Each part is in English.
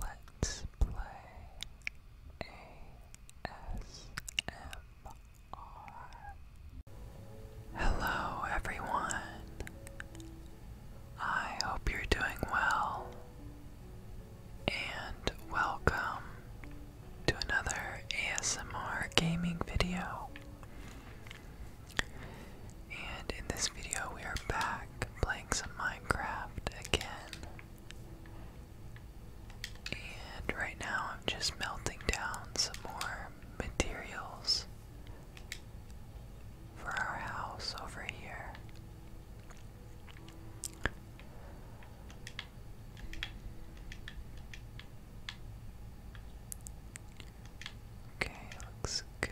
Let's play ASMR. Hello, everyone. I hope you're doing well, and welcome to another ASMR gaming video. And in this video, we are back playing some Minecraft again. And right now, I'm just melting down some more materials for our house over here. Okay, looks good.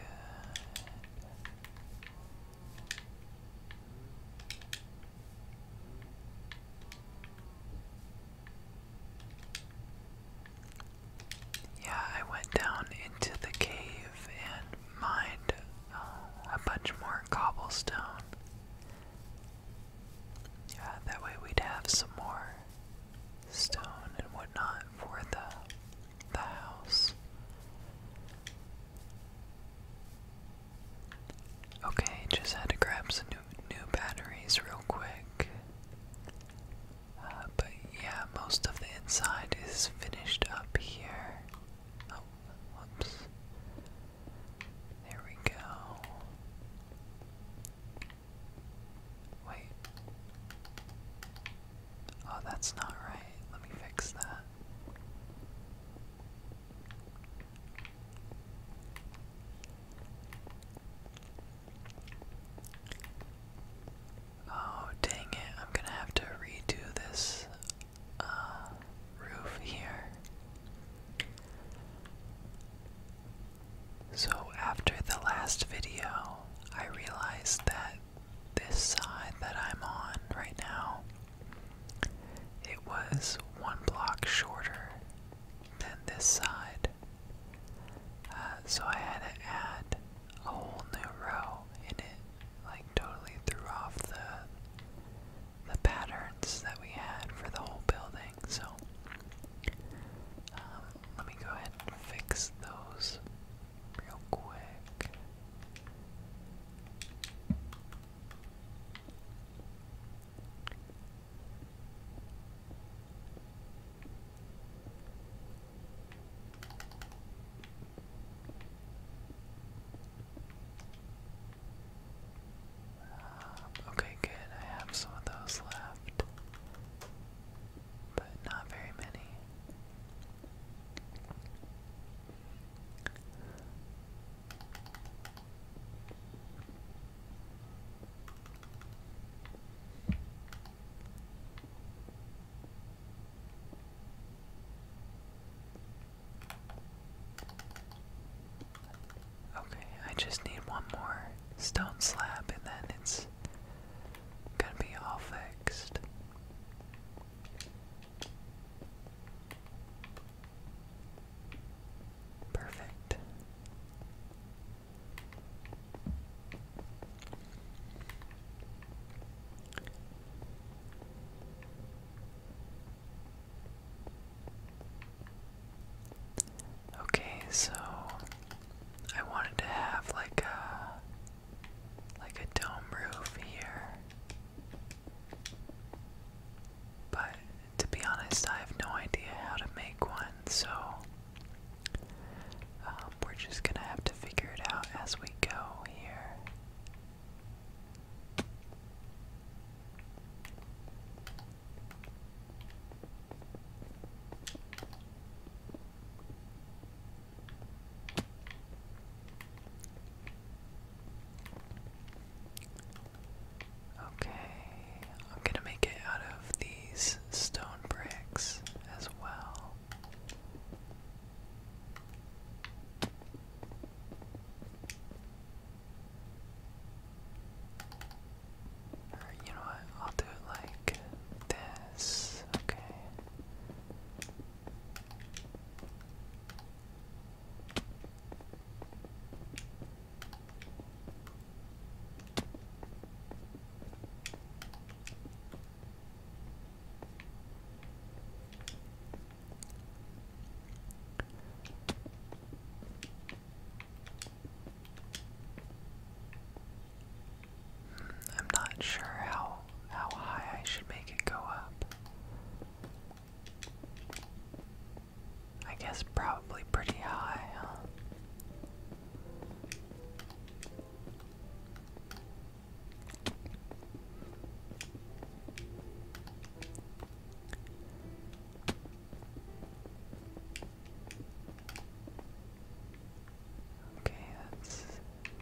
Yeah, I went down into the cave and mined uh, a bunch more cobblestone. Yeah, that way we'd have some more stone and whatnot for the the house. Okay, just had to grab some new, new batteries real quick. Uh, but yeah, most of the inside is finished up here. Oh, whoops. There we go. Wait. Oh, that's not right. Let me fix that. Oh, dang it. I'm going to have to redo this uh, roof here. So, after the last video, I realized that this side that I'm on right now, it was one block shorter than this side. Uh, so I had to add a whole new row and it like totally threw off the the patterns that we had for the whole building. So um, let me go ahead and fix those real ah, okay, good. I have some of those left, but not very many. Okay, I just need one more stone slab and then it's gonna be all fixed. Perfect. Okay, so I wanted to have like a like a dome roof here. But to be honest, I have no idea how to make one, so um, we're just gonna have to figure it out as we go here. Okay, I'm gonna make it out of these stone bricks as well. Or, you know what? I'll do it like this. Okay. I'm not sure how how high I should make it go up. I guess probably pretty high, huh? Okay, that's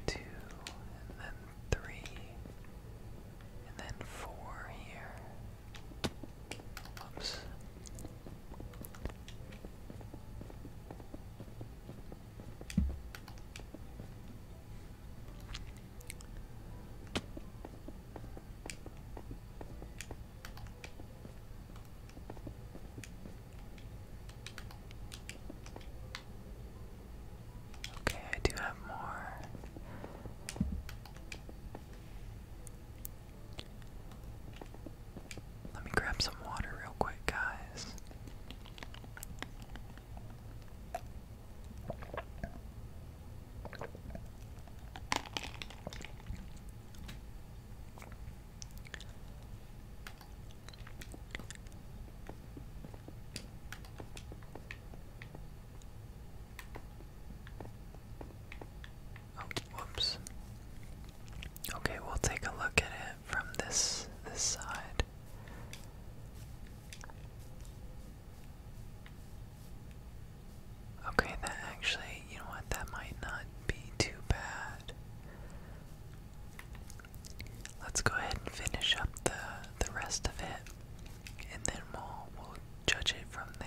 two, and then three, and then four here. Oops. Okay, I do have more. Let me grab some water real quick, guys. Oh, Okay, we'll take a look at it from this this side. Okay, that actually, you know what, that might not be too bad. Let's go ahead and finish up the the rest of it and then we'll, we'll judge it from there.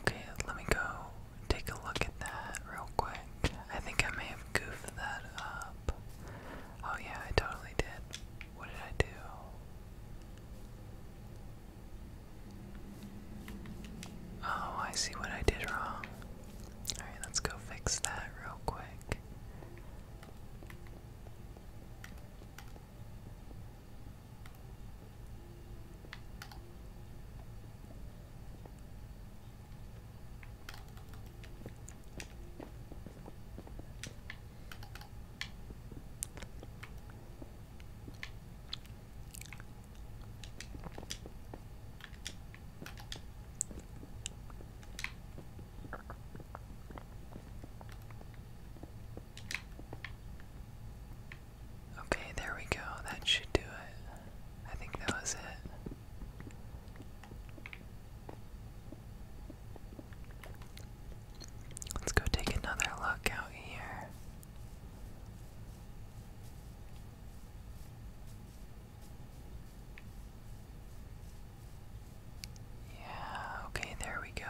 Okay, let me go take a look at that real quick. I think I may have goofed that up. Oh, yeah, I totally did. What did I do? Oh, I see what I did wrong. Alright, let's go fix that real quick. Okay, there we go. That should do it. I think that was it. Let's go take another look out here. Yeah, okay, there we go.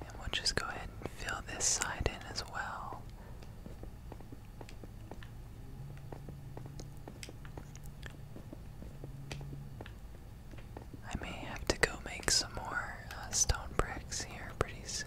And we'll just go ahead and fill this side in as well. I may have to go make some more uh, stone bricks here pretty soon.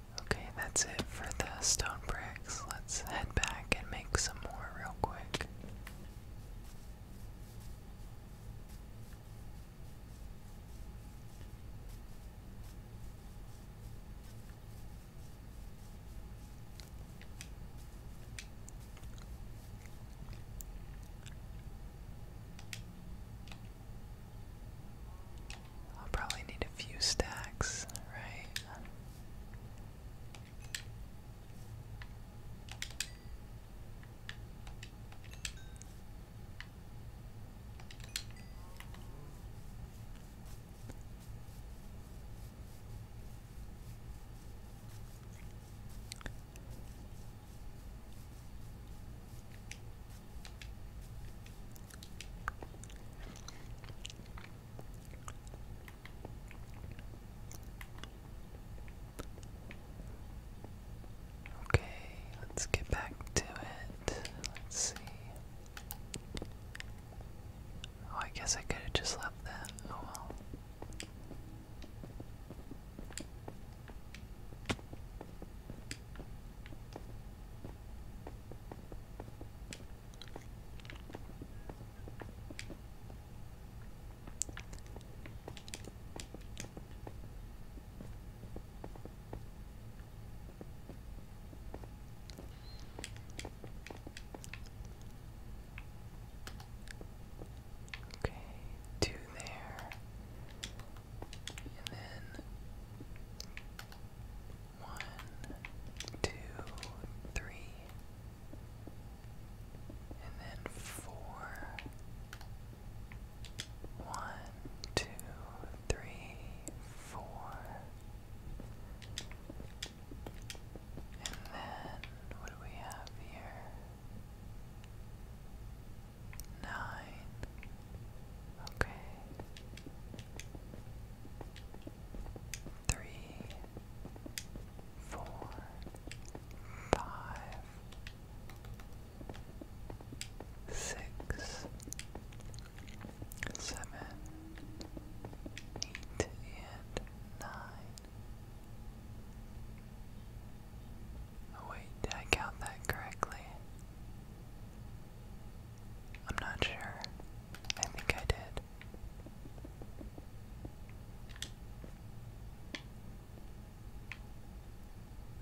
Okay, that's it for the stone bricks. Let's head back and make some more real quick. I'll probably need a few stacks, right? Okay, let's get back to it. Let's see. Oh, I guess I could have just left that. Oh well. Okay, two there. And then one, two, three, and then four. One, two, three, four. And then what do we have here? Nine. Okay three, four, five, six, seven, eight, and nine. Oh, wait, did I count that correctly? I'm not sure. I think I did.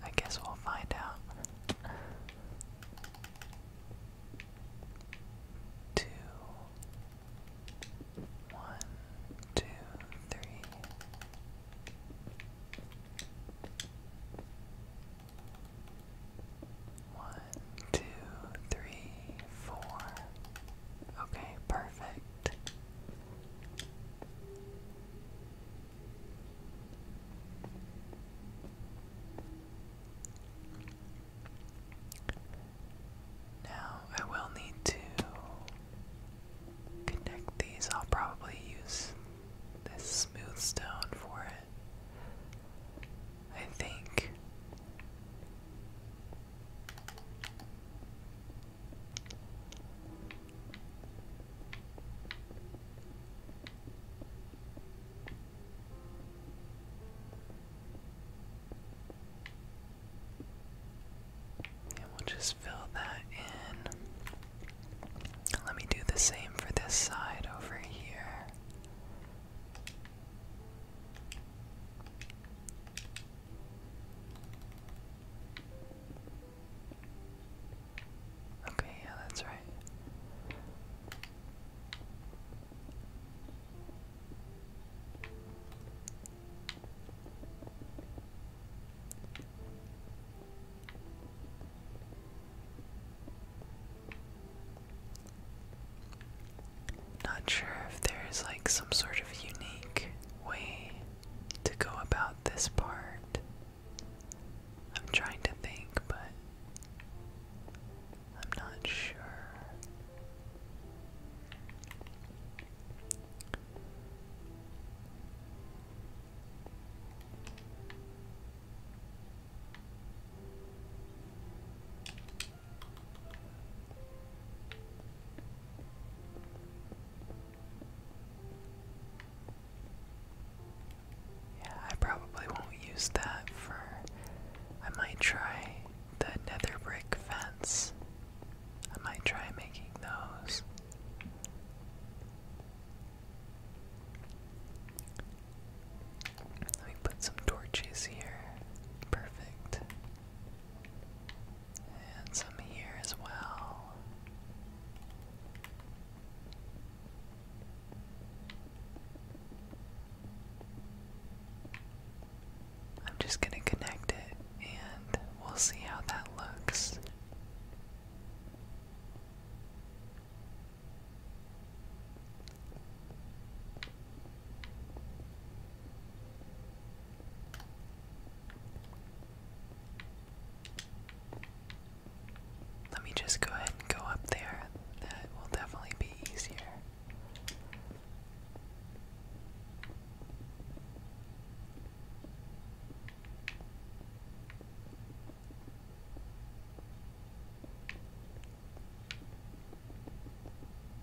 I guess we'll find out. Two, one, two, three. One, two, three, four. Okay, perfect. Now I will need to connect these. I'll probably use this smooth stone for it. I think and we'll just fill that in. Let me do the same for this side over here. Okay, yeah, that's right. Not sure if there's like some sort of unique way to go about this part. I'm trying to think, but I'm not sure. I probably won't use that for. I might try the nether brick fence. I might try making those. Let me put some torches here. Perfect. And some here as well. I'm just going to connect it and we'll see how that looks. Let me just go ahead and go up there. That will definitely be easier.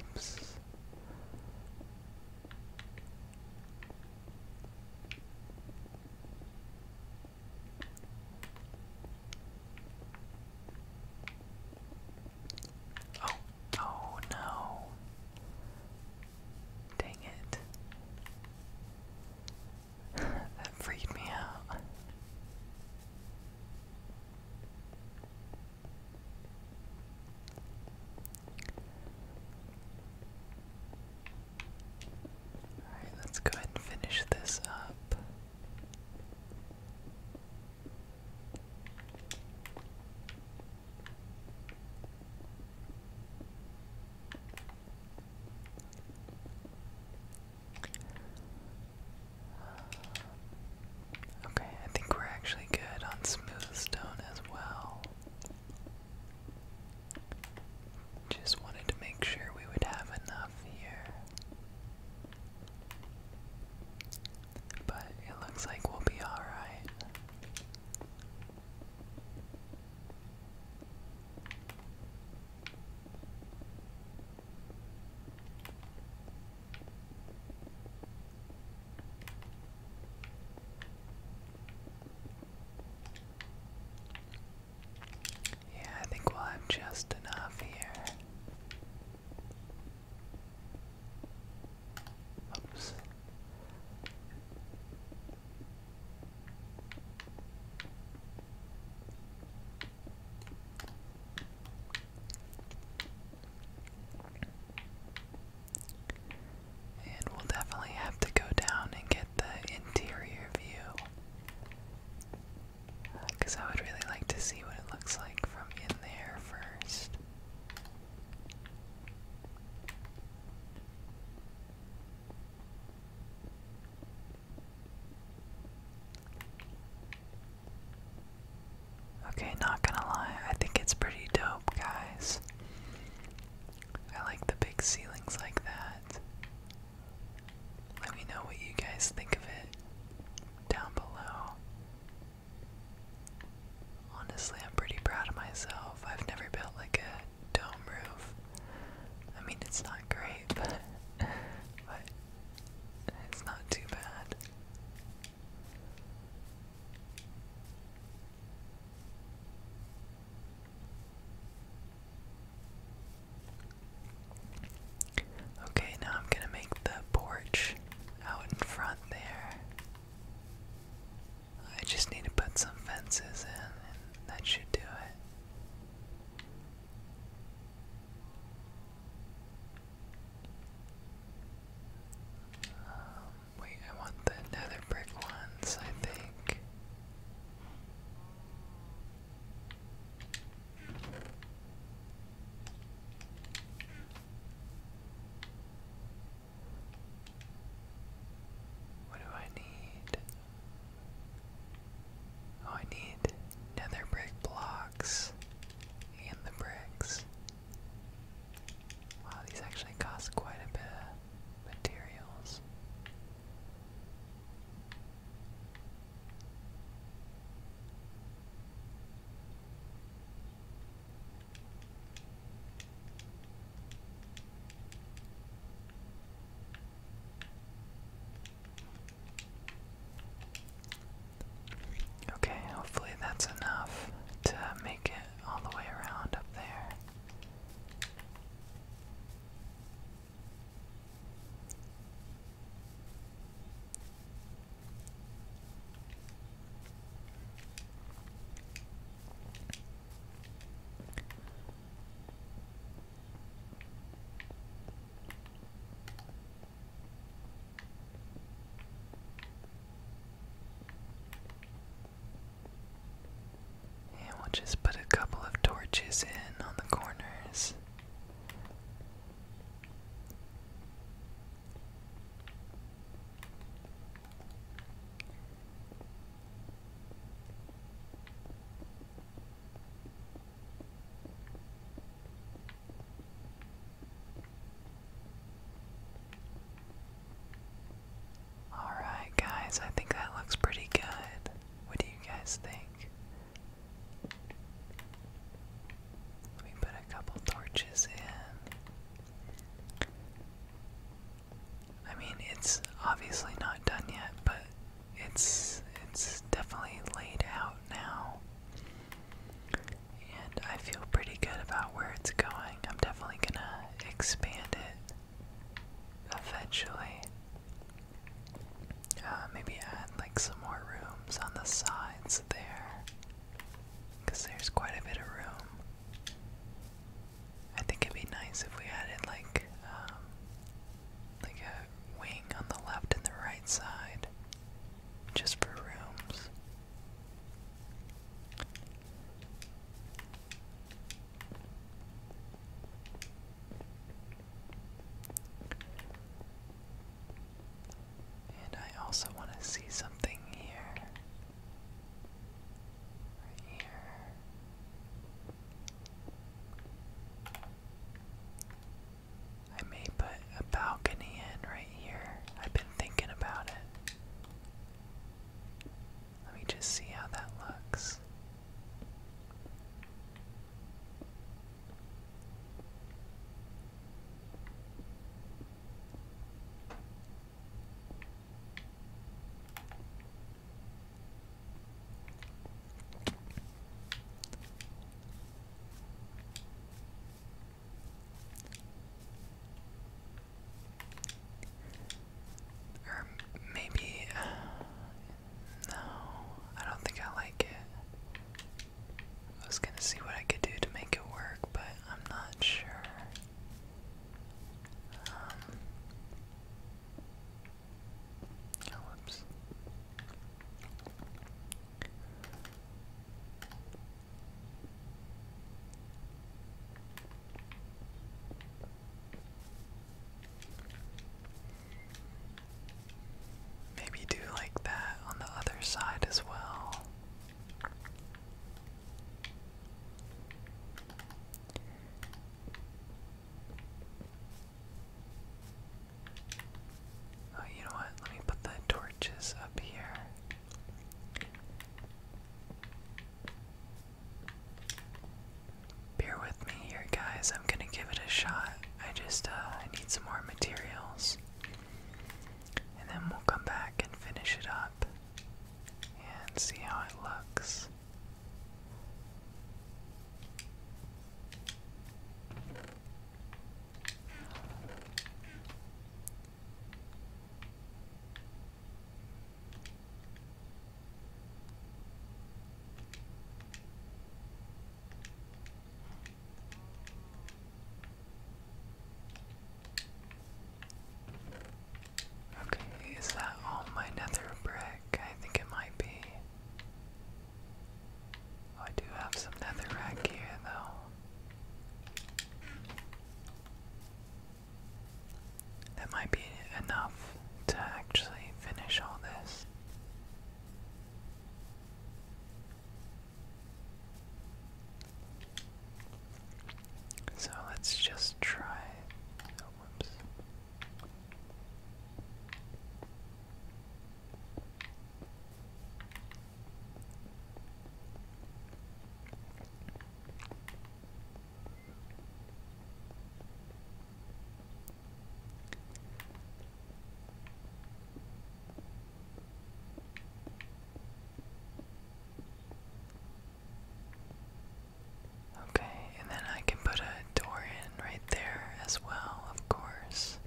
Oops. Oh, oh no. Dang it. that freaked me out let's go ahead and finish this up. Okay, I think we're actually good on smooth stone as well. Just wanted to make sure we would have enough here. But it looks like we'll be alright. Yeah, I think we'll have just enough here. Oops. And we'll definitely have to go down and get the interior view. Because I would really like to see what it looks like from in there first. Okay, not gonna lie, I think it's pretty dope, guys. I like the big ceilings like that. Let me know what you guys think of it down below. Honestly, I'm pretty proud of myself. I've never built like a dome roof. I mean, it's not great, but, but it's not too bad. Okay, now I'm going to make the porch out in front there. I just need to put some fences in, and that should do it. Um, Wait, I want the nether brick ones, I think. What do I need? Oh, I need nether brick blocks and the bricks. Wow, these actually cost quite a bit of materials. Okay, hopefully that's enough to make it all the way around up there. And we'll just put a couple of torches in on the corners. Alright, guys, I think that looks pretty good. What do you guys think? Let me put a couple torches in. I mean, it's obviously not done yet, but it's it's definitely laid out now and I feel pretty good about where it's going. I'm definitely gonna expand it eventually. Uh, maybe add like some more rooms on the sides there, because there's quite a bit of room. I think it'd be nice if we added like um, like a wing on the left and the right side, just for rooms. And I also want to see something here. Right here. I may put a balcony in right here. I've been thinking about it. Let me just see how that looks. Or maybe. Uh, no, I don't think I like it. I was gonna see what I could do to make it work, but I'm not sure. Um, oh, whoops. Maybe do like that on the other side as well. Oh, you know what? Let me put the torches up here. Bear with me here, guys. I'm gonna give it a shot. I just, uh, need some more materials. And then we'll come back and finish it up and see how it looks. Okay, is that all my nether brick? I think it might be. Oh, I do have some netherrack here, though. That might be enough to actually finish all this. So let's just try. Oh, whoops. Okay, and then I can put a door in right there as well, of course.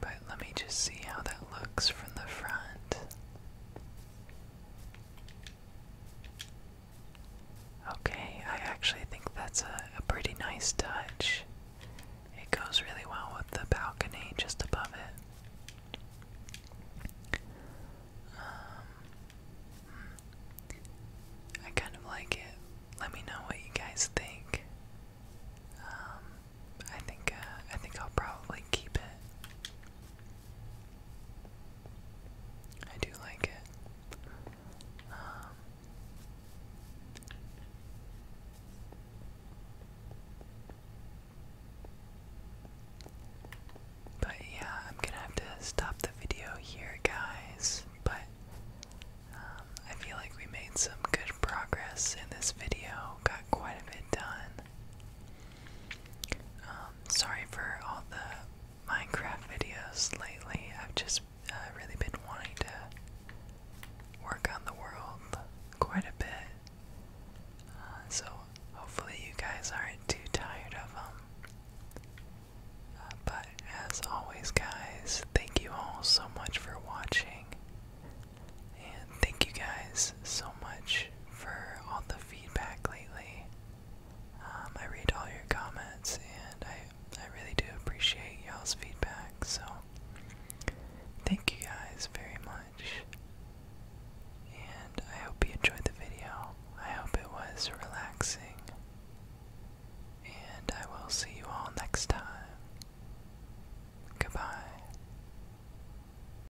But let me just see how that looks from the front. Okay, I actually think that's a, pretty nice touch. It goes really well with the balcony just above it. Um, I kind of like it. Let me know what you guys think. Um, I think uh, I think I'll probably keep it. I do like it. Um, but yeah, I'm gonna have to stop the video here, guys. But um, I feel like we made some good progress in this video, got quite a bit done. Um, sorry for all the Minecraft videos lately. I've just uh, really been wanting to work on the world quite a bit. Uh, so hopefully you guys aren't too tired of them. Uh, but as always, guys, thank you all so much for watching. And thank you guys so much for all the feedback lately. Um, I read all your comments and I, I really do appreciate y'all's feedback. So thank you guys very much. And I hope you enjoyed the video. I hope it was relaxing. And I will see you all next time. Goodbye.